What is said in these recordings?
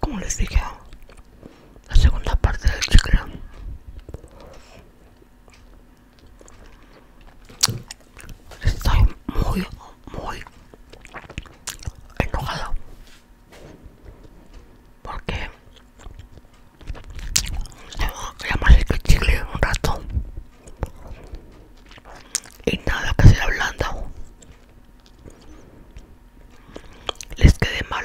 Como les dije, la segunda parte del chicle. Estoy muy, muy enojado porque ya el chicle un rato y nada que sea ablanda les quede mal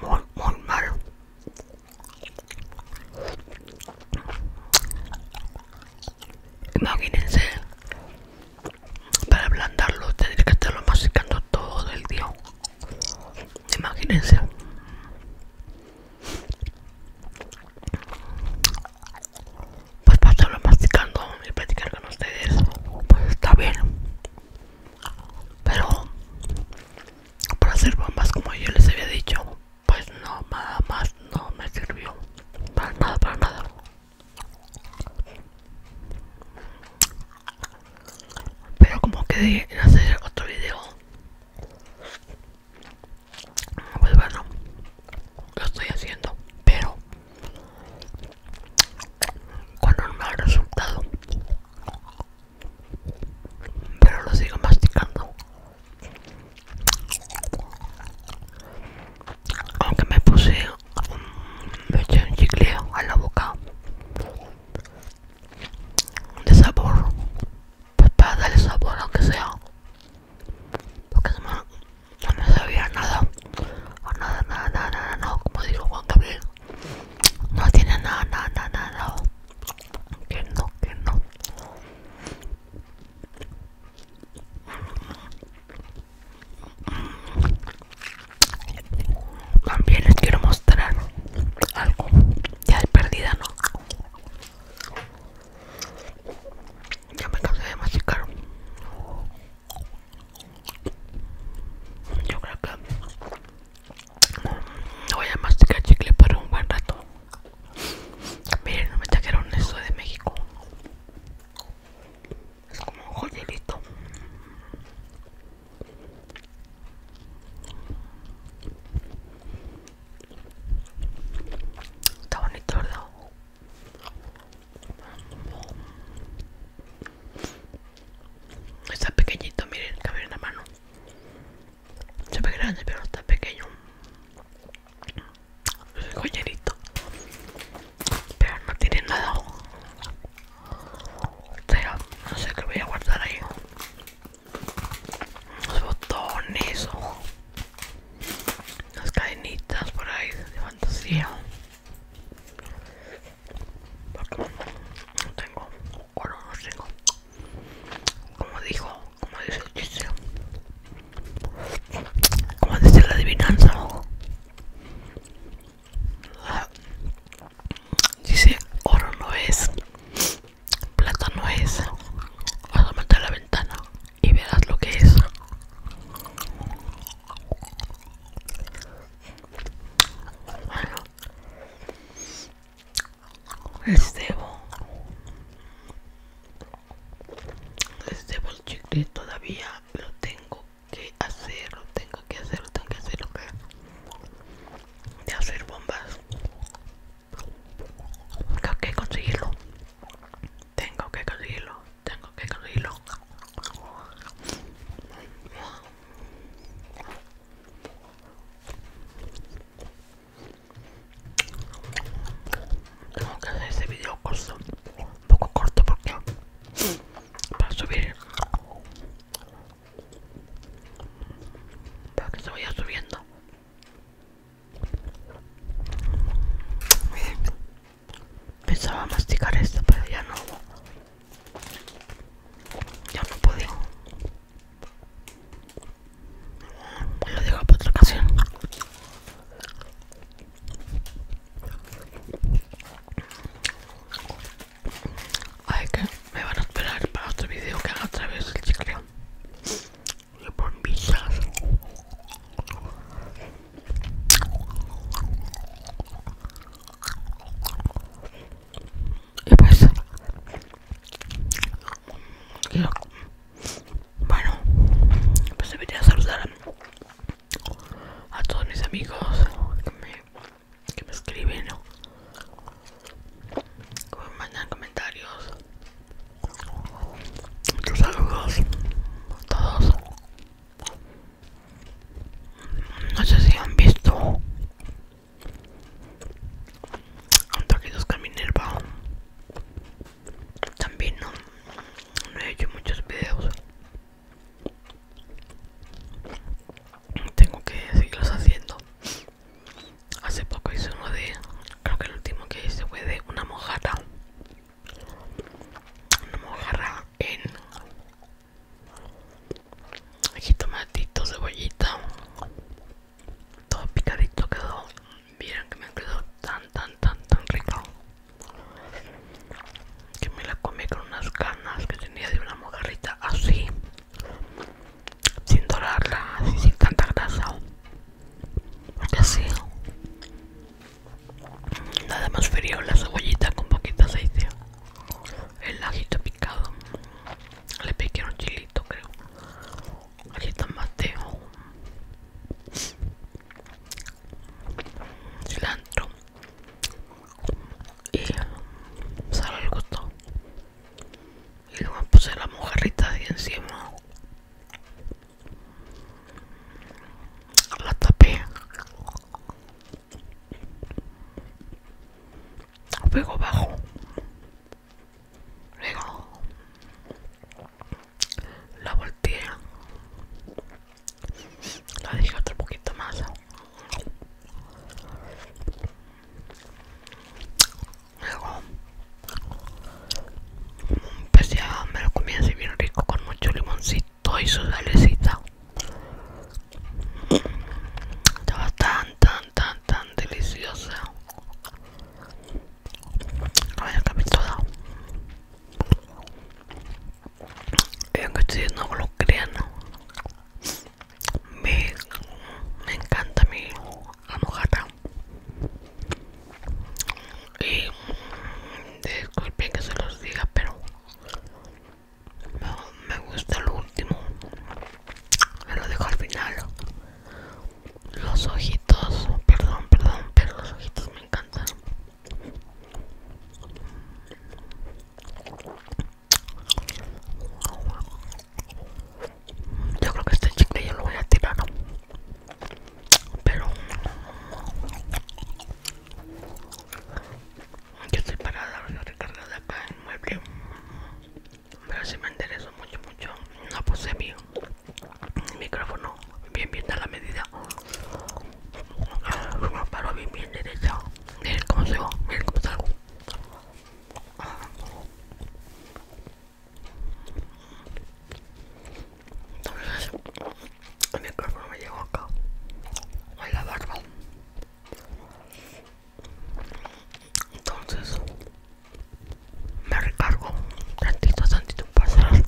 muy muy mal imagínense para ablandarlo tendría que estarlo masticando todo el día Imagínense. Pues pasarlo masticando y platicar con ustedes, pues está bien. Pero para hacer bombas como yo les había dicho, pues no, nada más no me sirvió. Para nada, para nada. Pero como quedé en hacer otro video, pues bueno, lo estoy haciendo. Pero cuando no me ha resultado, pero lo sigo masticando. Aunque me puse me eché un chicle a la boca de sabor pues para darle sabor aunque sea porque no me, no sabía nada o nada nada nada nada no como dijo Juan Gabriel no tiene nada nada nada nada que no que no también les quiero mostrar algo ya de perdida, ¿no? Ya me cansé de masticar. Yo creo que voy a masticar chicle por un buen rato. Miren, me trajeron eso de México es como un joyerito está bonito verdad está pequeñito miren cabe en la mano se ve grande pero está pequeño es un joyerito pero no tiene nada o sea no sé qué voy a guardar ahí los botones o las cadenitas por ahí de fantasía porque no tengo oro no tengo como dijo como dice el chiste como dice la adivinanza dice oro no es plata no es Vas a meter la ventana y verás lo que es bueno Estebo Estebo el chicle todavía lo tengo que hacerlo, tengo que hacerlo, tengo que hacerlo. de hacer bombas. Tengo que conseguirlo. Tengo que conseguirlo. Tengo que conseguirlo tengo que hacer este video corto un poco corto porque para subir para que se vaya subiendo pensaba masticar esto pero ya no ya no podía lo digo para otra ocasión Ay, que me van a esperar para otro video que haga otra vez el chicle. Y por visas. Y pues bueno, pues debería saludar a, todos mis amigos que me, escriben, que me mandan comentarios. Muchos saludos a todos. No sé si han visto un taquito Caminero también no, he hecho muchos videos tengo que seguirlos haciendo hace poco hice uno de creo que el último que hice fue de una mojada una mojarra en aquí tomatito cebollita todo picadito quedó miren que me quedó tan, tan, tan, tan rico que me la comí con unas ganas que tenía de una mojarrita así, sin dorarla, así, sin tanta grasa. Así, nada más frío la cebollita con poquito aceite, el ajito picado. Le piqué un chilito, creo aquí está Mateo cilantro y sal pues, al gusto y luego puse la mojarrita ahí encima la tapé luego bajo luego la volteé la dije otro poquito más luego pues a me lo comí así bien rico con mucho limoncito y su salecita estaba bastante tan, tan, deliciosa. Vaya toda Y aunque estoy no lo crean, me, me encanta mi almohada. Y disculpen que se los diga, pero me, gusta el último me lo dejo al final los ojitos perdón perdón pero los ojitos me encantan yo creo que este chicle yo lo voy a tirar pero yo estoy parada, recargada acá en el mueble. Pero si me enderezo mucho, mucho. No puse mi micrófono, bien, bien a la medida. Me paro bien, bien derecha. Miren cómo se va, miren cómo salgo. el micrófono me llegó acá. A la barba entonces me recargo tantito tantito para atrás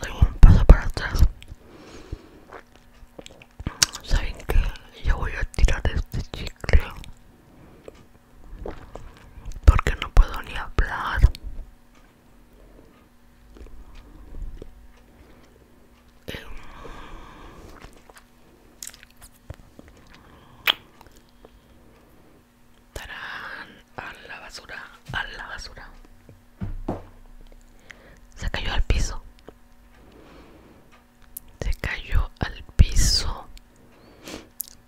doy un paso para atrás saben que yo voy a tirar este chicle porque no puedo ni hablar a la basura a la basura se cayó al piso se cayó al piso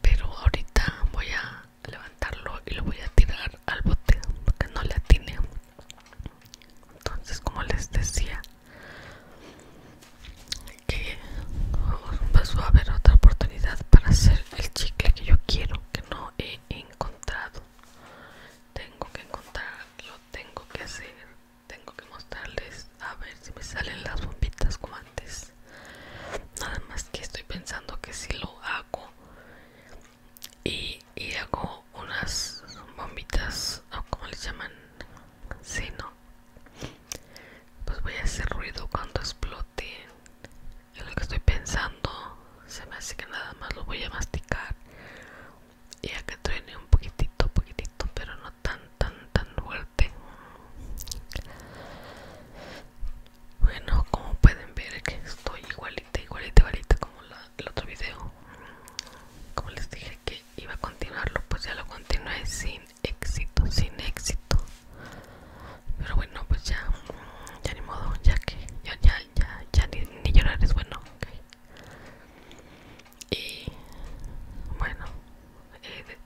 pero ahorita voy a levantarlo y lo voy a tirar al bote porque no le tiene entonces como les decía que a haber otra oportunidad para hacer el chicle que yo quiero que no he encontrado tengo que encontrarlo tengo que hacer tengo que mostrarles a ver si me salen las bombitas como antes nada más que estoy pensando que si lo hago y, hago unas bombitas o como les llaman si no pues voy a hacer ruido cuando explote es lo que estoy pensando se me hace que nada más lo voy a masticar y a que truene un poquitito poquitito pero no tan tan tan fuerte bueno, como pueden ver que estoy igualita, igualita, igualita como el otro video. Como les dije que iba a continuarlo, pues ya lo continué sin éxito, sin éxito. Pero bueno, pues ya, ya ni modo, ya que ya, ya, ya, ya ni, llorar es bueno. Y bueno, eh,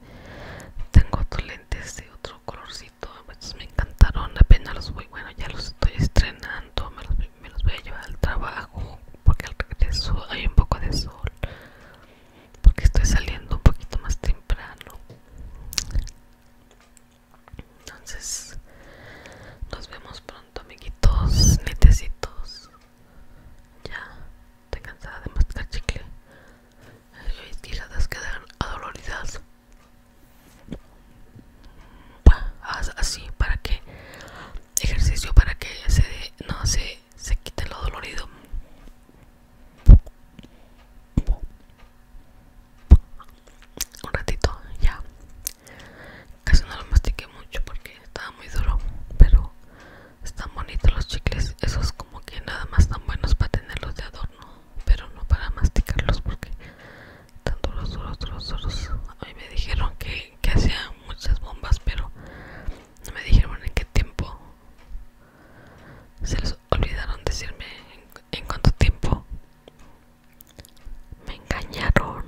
tengo otros lentes de otro colorcito pues, me encantaron apenas los voy bueno ya los estoy estrenando me los, voy a llevar al trabajo porque al regreso hay un poco de sol porque estoy saliendo un poquito más temprano entonces nos vemos pronto amiguitos netecitos ya estoy cansada de mascar chicle y tiradas quedan adoloridas haz así para que ejercicio para que se no se se quite lo dolorido un ratito ya casi no lo mastiqué mucho porque estaba muy duro pero están bonitos los chicles esos como que nada más tan buenos para tenerlos de adorno pero no para masticarlos porque tanto duros, duros, duros, duros. A mí me dijeron que, hacían muchas bombas, pero no me dijeron en qué tiempo. Se les olvidaron decirme en cuánto tiempo. Me engañaron.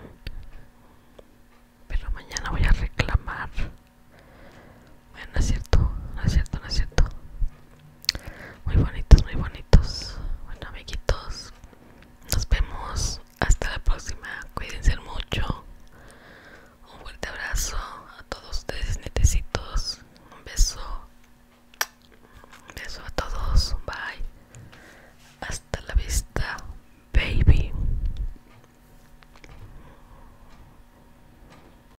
Pero mañana voy a reclamar. Bueno, no es cierto, no es cierto, no es cierto. Muy bonitos, muy bonitos. Bueno, amiguitos, nos vemos hasta la próxima. Cuídense mucho. Un fuerte abrazo a todos ustedes, netecitos. Un beso. Un beso a todos. Bye. Hasta la vista, baby.